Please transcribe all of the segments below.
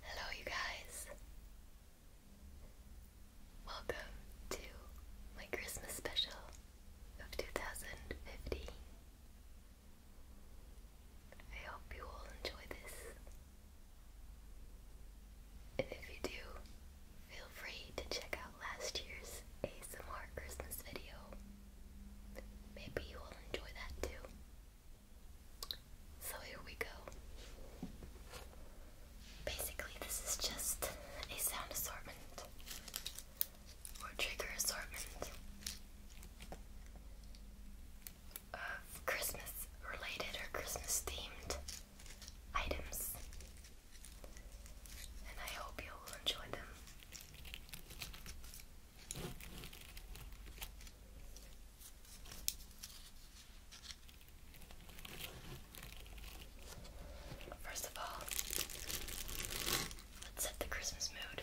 Hello, you guys. Welcome to my Christmas special of 2015. I hope you all enjoy this. And if you do, feel free to check out last year's ASMR Christmas video. Maybe you will enjoy that too. So here we go. Basically, this is just a sound assortment or trigger assortment of Christmas related or Christmas themed items. And I hope you'll enjoy them. First of all, let's set the Christmas mood.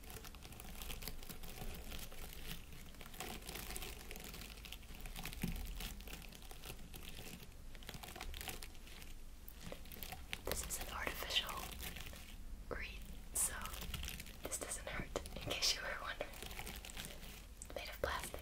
This is an artificial reed, so this doesn't hurt, in case you were wondering. Made of plastic.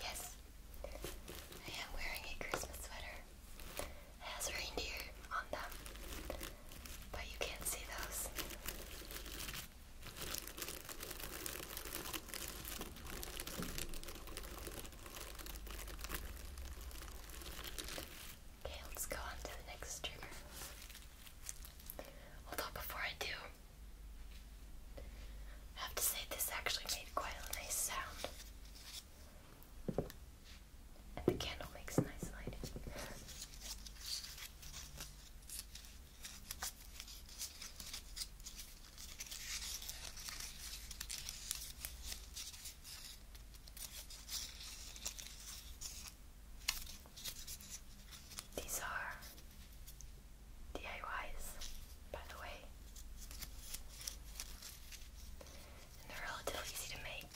Yes, I am wearing a Christmas sweater. It has reindeer on them, but you can't see those. Okay, let's go on to the next trigger. Although, before I do, I have to say, this actually made quite a nice sound. the candle makes nice lighting. These are DIYs, by the way. And they're relatively easy to make.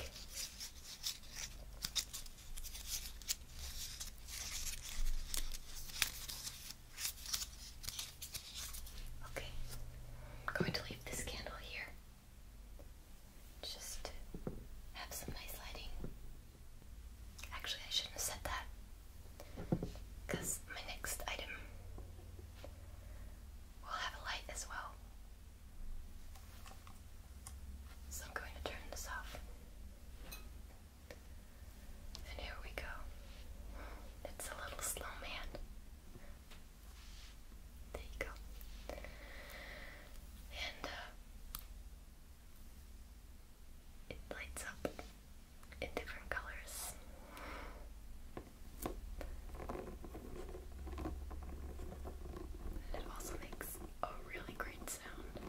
Okay, I'm going to leave this candle here. Just have some nice lighting. Actually, I shouldn't have said that because my next item will have a light as well. So I'm going to turn this off. And here we go. It's a little slow man. There you go. And uh, it lights up in different colors. it also makes a really great sound.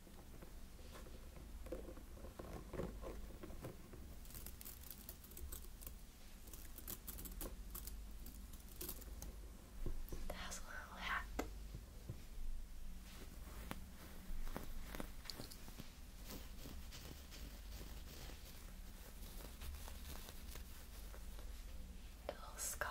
It has a little hat. The little scarf.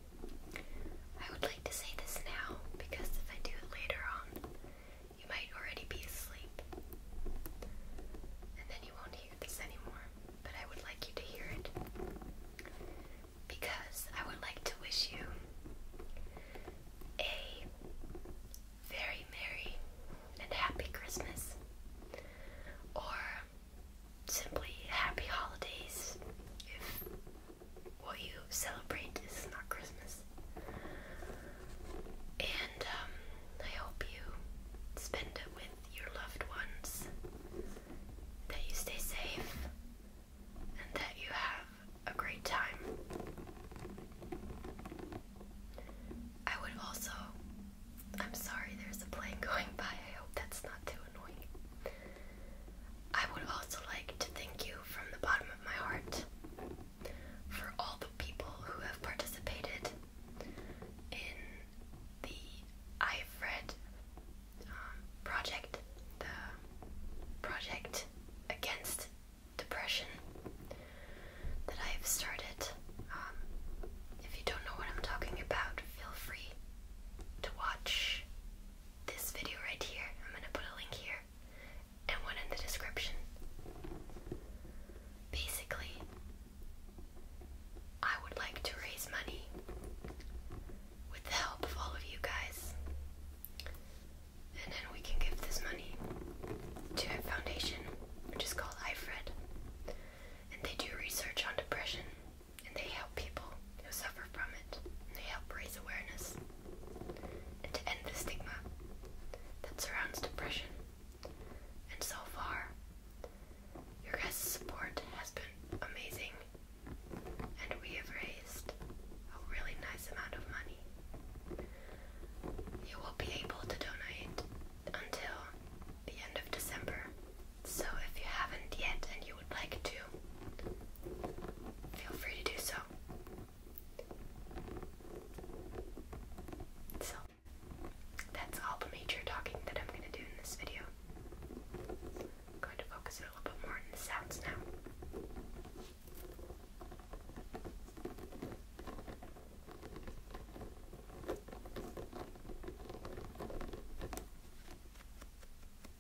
I would like to say this now because if I do it later on, you might already be asleep. And then you won't hear this anymore, but I would like you to hear it. Because I would like to wish you a very merry and happy Christmas. Or simply happy holidays if what you celebrate is not Christmas. And um, I hope you spend it with your loved ones, that you stay safe, and that you have a great time. I would also. I'm sorry there's a plane going by, I hope that's not too annoying. I would also like to thank you from the bottom of my heart for all the people who have participated in the I've Read um, project, the project against depression that I've started. Um, if you don't know what I'm talking about, feel free to watch this video right here. I'm gonna put a link here and one in the description. Basically, I would like to raise money with the help of all of you guys, and then we can give this money to a foundation which is called IFRED, and they do research on depression and they help people who suffer from it, they help raise awareness and to end the stigma that surrounds depression. And so far, your guys' support has been amazing, and we have raised a really nice amount of money. You will be able to donate until the end of December. So if you haven't yet and you would like to, feel free to do so so that's all the major talking that I'm gonna do in this video. I'm going to focus a little bit more on the sounds now.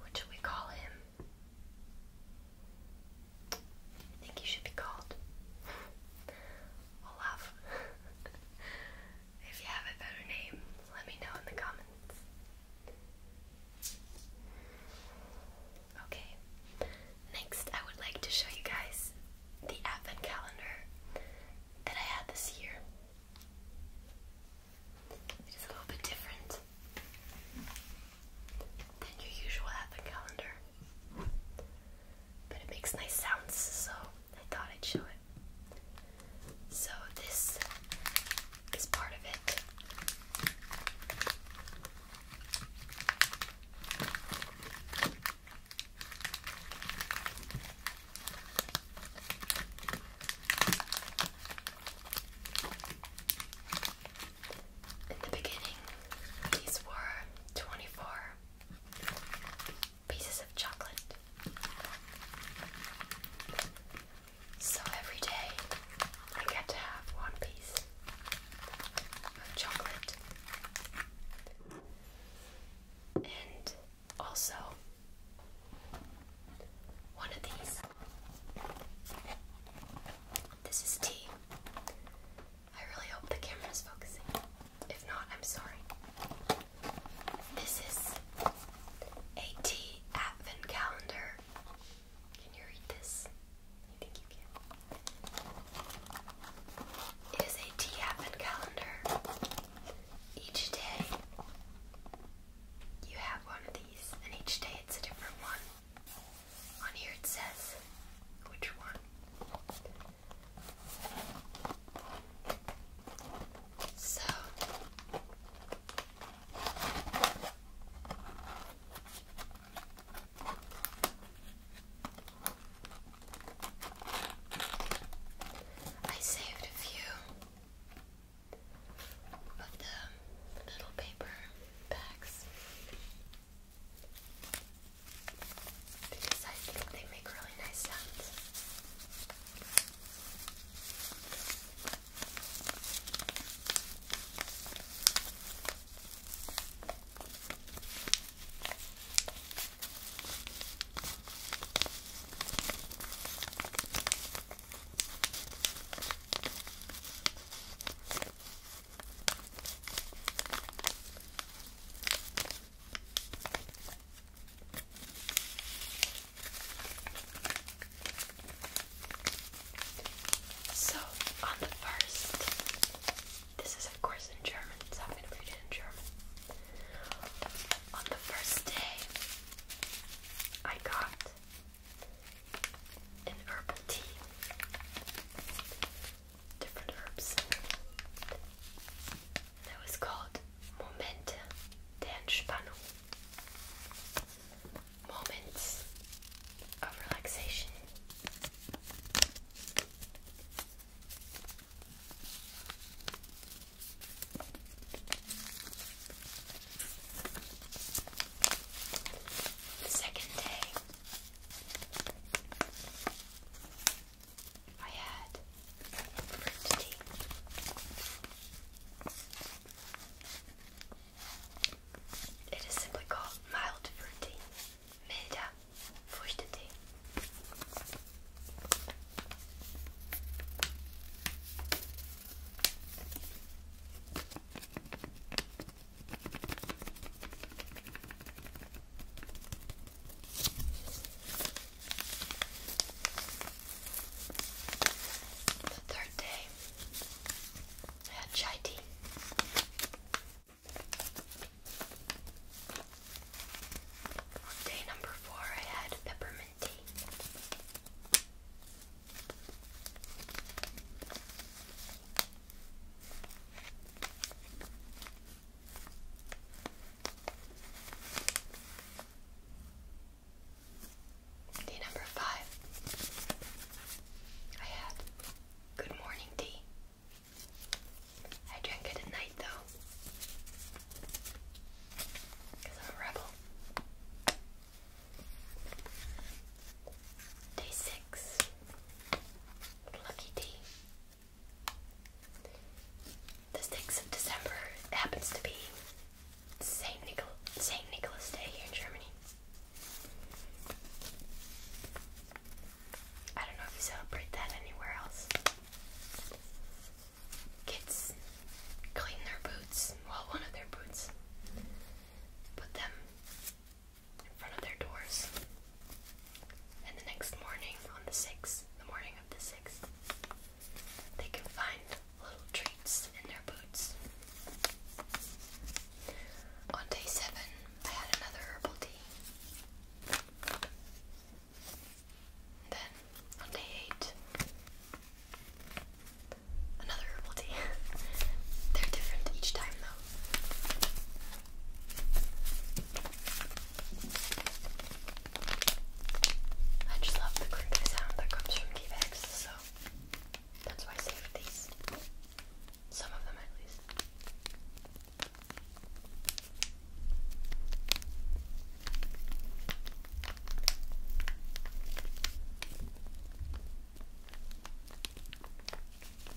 What should we call him? I think he should be called or if you have a better name, let me know in the comments. Okay, next I would like to show you guys the advent calendar that I had this year. It is a little bit different than your usual advent calendar but it makes nice sounds, so I thought I'd show it. So this is part of it. In the beginning, these were 24 pieces of chocolate. So every day I get to have one piece of chocolate. And also one of these. This is tea. I really hope the camera's focusing. If not, I'm sorry. This is a tea calendar. Can you read this? I think you can. It is a tea calendar. Each day you have one of these, and each day it's a different one. On here it says which one. So I saved a few of the little paper bags because I think they make really nice sounds. So, on the first, this is of course in German, so I'm going to read it in German. On the first day, I got an herbal tea different herbs. That was called Moments of relaxation. The second day, I had fruit tea. It is simply called mild fruit tea. Milder Früchtetee. The third day, I had chai tea. day number four, I had peppermint tea. Day number five. I had good morning tea. I drank it at night though. Because I'm a rebel. Day six. Lucky tea. The 6th of December happens to be St. Nicholas Day here in Germany. I don't know if you celebrate that anywhere else. Kids clean their boots, well, one of their boots, put them in front of their doors and the next morning, on the 6th, the morning of the 6th, they can find little treats in their boots. On day 7, I had another herbal tea. Then, on day 8, another herbal tea. They're different each time, though. I just love the crinkly sound that comes from Kivex, so that's why I saved these. Some of them, at least.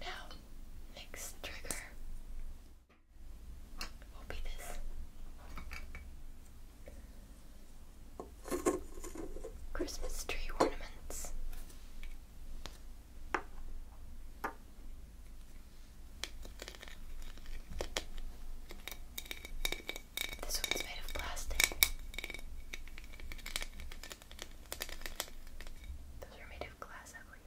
Now, next trigger will be this Christmas tree ornaments. This one's made of plastic. Those are made of glass, I believe.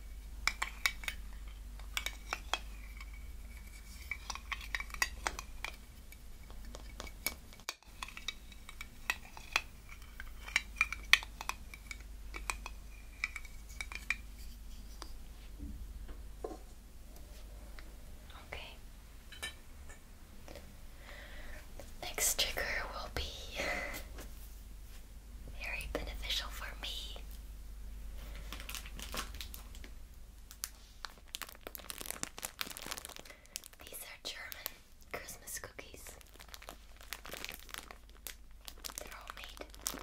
Okay. Next trigger will be very beneficial for me. These are German Christmas cookies. They're all made.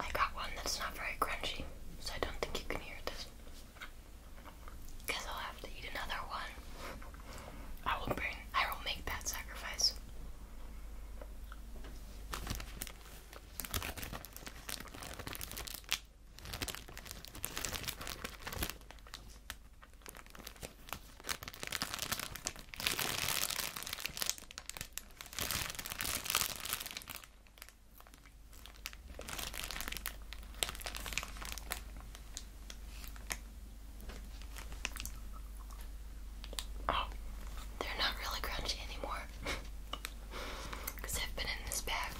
I got one that's not very crunchy, so I don't think you can hear this. Guess I'll have to eat another one. I will bring I will make that sacrifice. Oh, they're not really crunchy anymore because they've been in this bag.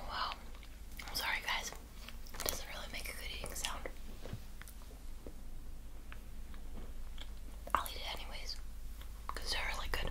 Wow, I'm sorry guys, it doesn't really make good eating sound. I'll eat it anyways, because they're really good.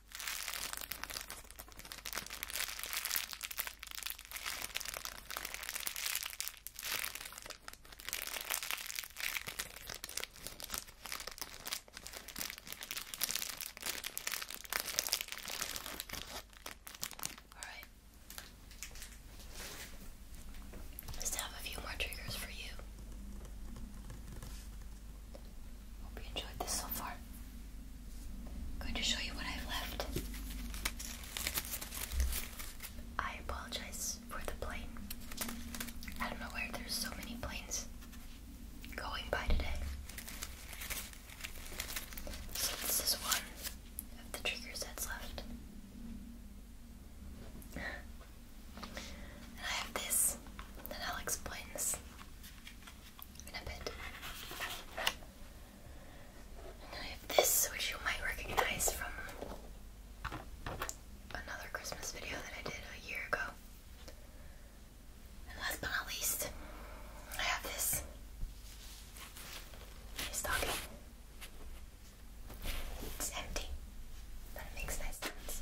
Alright. Let's have a few more triggers for you. Hope you enjoyed this so far. I'm going to show you what I've left. I apologize for the plane. I don't know where there's so many planes going by today. So this is one of the triggers that's left. I have this, and I'll explain this in a bit. And I have this, which you might recognize from another Christmas video that I did a year ago. And last but not least, I have this stocking. It's empty, but it makes nice sense.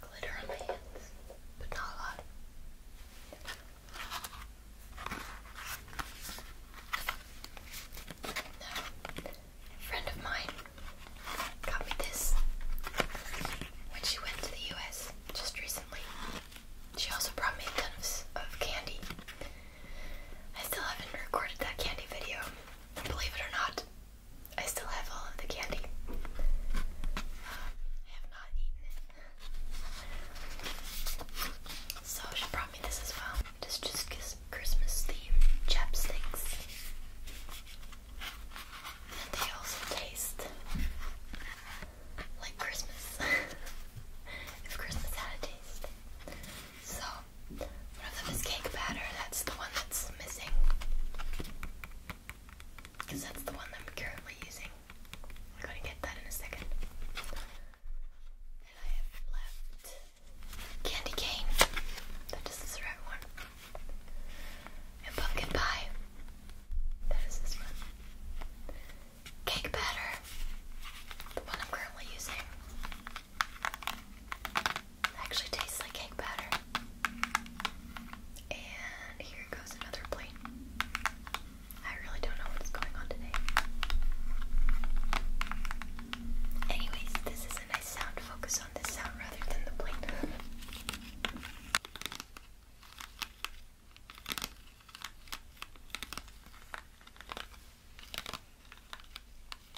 glitter on my hands, but not a lot. Now, friend of mine got me this when she went to the US just recently. She also brought me a of candy. I still haven't recorded that candy video. Believe it or not, I still have all of the candy. Um, I have not eaten it. So she brought me this as well. This just gives Christmas theme chapsticks. And they also taste like Christmas. if Christmas had a taste. So one of them cake batter, that's the one that's missing. Because that's the one that I'm currently using. I'm gonna get that in a second. And I have left candy cane. That is this red one. And pumpkin pie. That is this one. Cake batter. The one I'm currently using. Actually tastes like cake batter. And here goes another plate. I really don't know what's going on today. Anyways, this is a nice sound. Focus on this sound rather than the plate.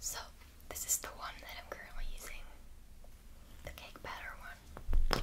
So, this is the one that I'm currently using the cake batter one.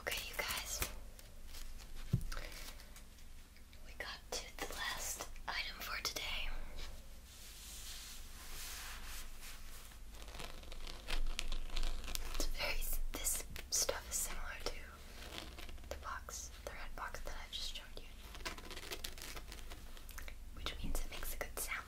Okay, you guys. We got to the last item for today. This stuff is similar to the box, the red box that I just showed you, which means it makes a good sound.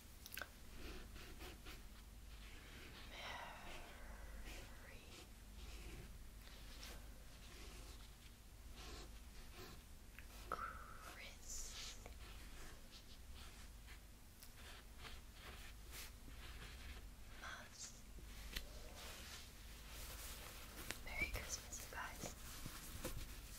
Chris. Mas. Merry Christmas, guys.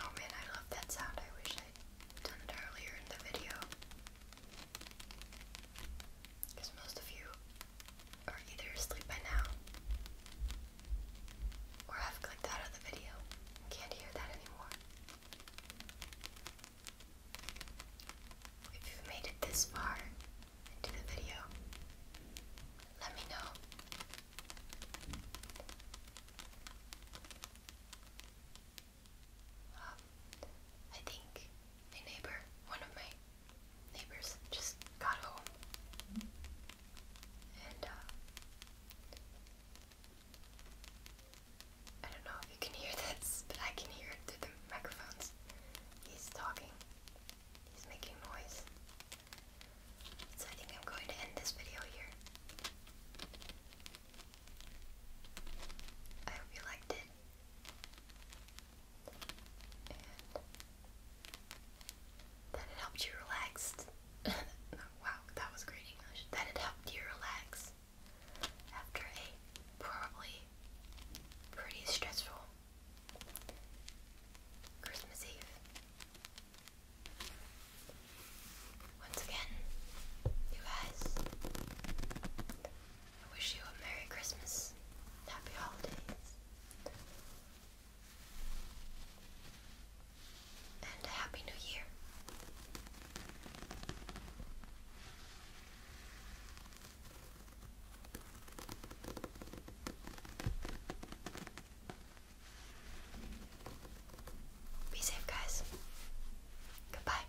Oh man, I love that sound. I wish I'd done it earlier in the video. Because most of you are either asleep by now or have clicked out of the video can't hear that anymore. If you've made it this far into the video, let me know um, I think my neighbor, one of my neighbors, just got home. And, uh, I don't know if you can hear this, but I can hear it through the microphones. He's talking, he's making noise. So I think I'm going to end this video here. I hope you liked it. that it helped you relax. wow, that was great English. That it helped you relax after a probably pretty stressful Christmas Eve. Once again, you guys, I wish you a Merry Christmas, Happy Holidays, and a Happy New Year. Be safe, guys. Goodbye.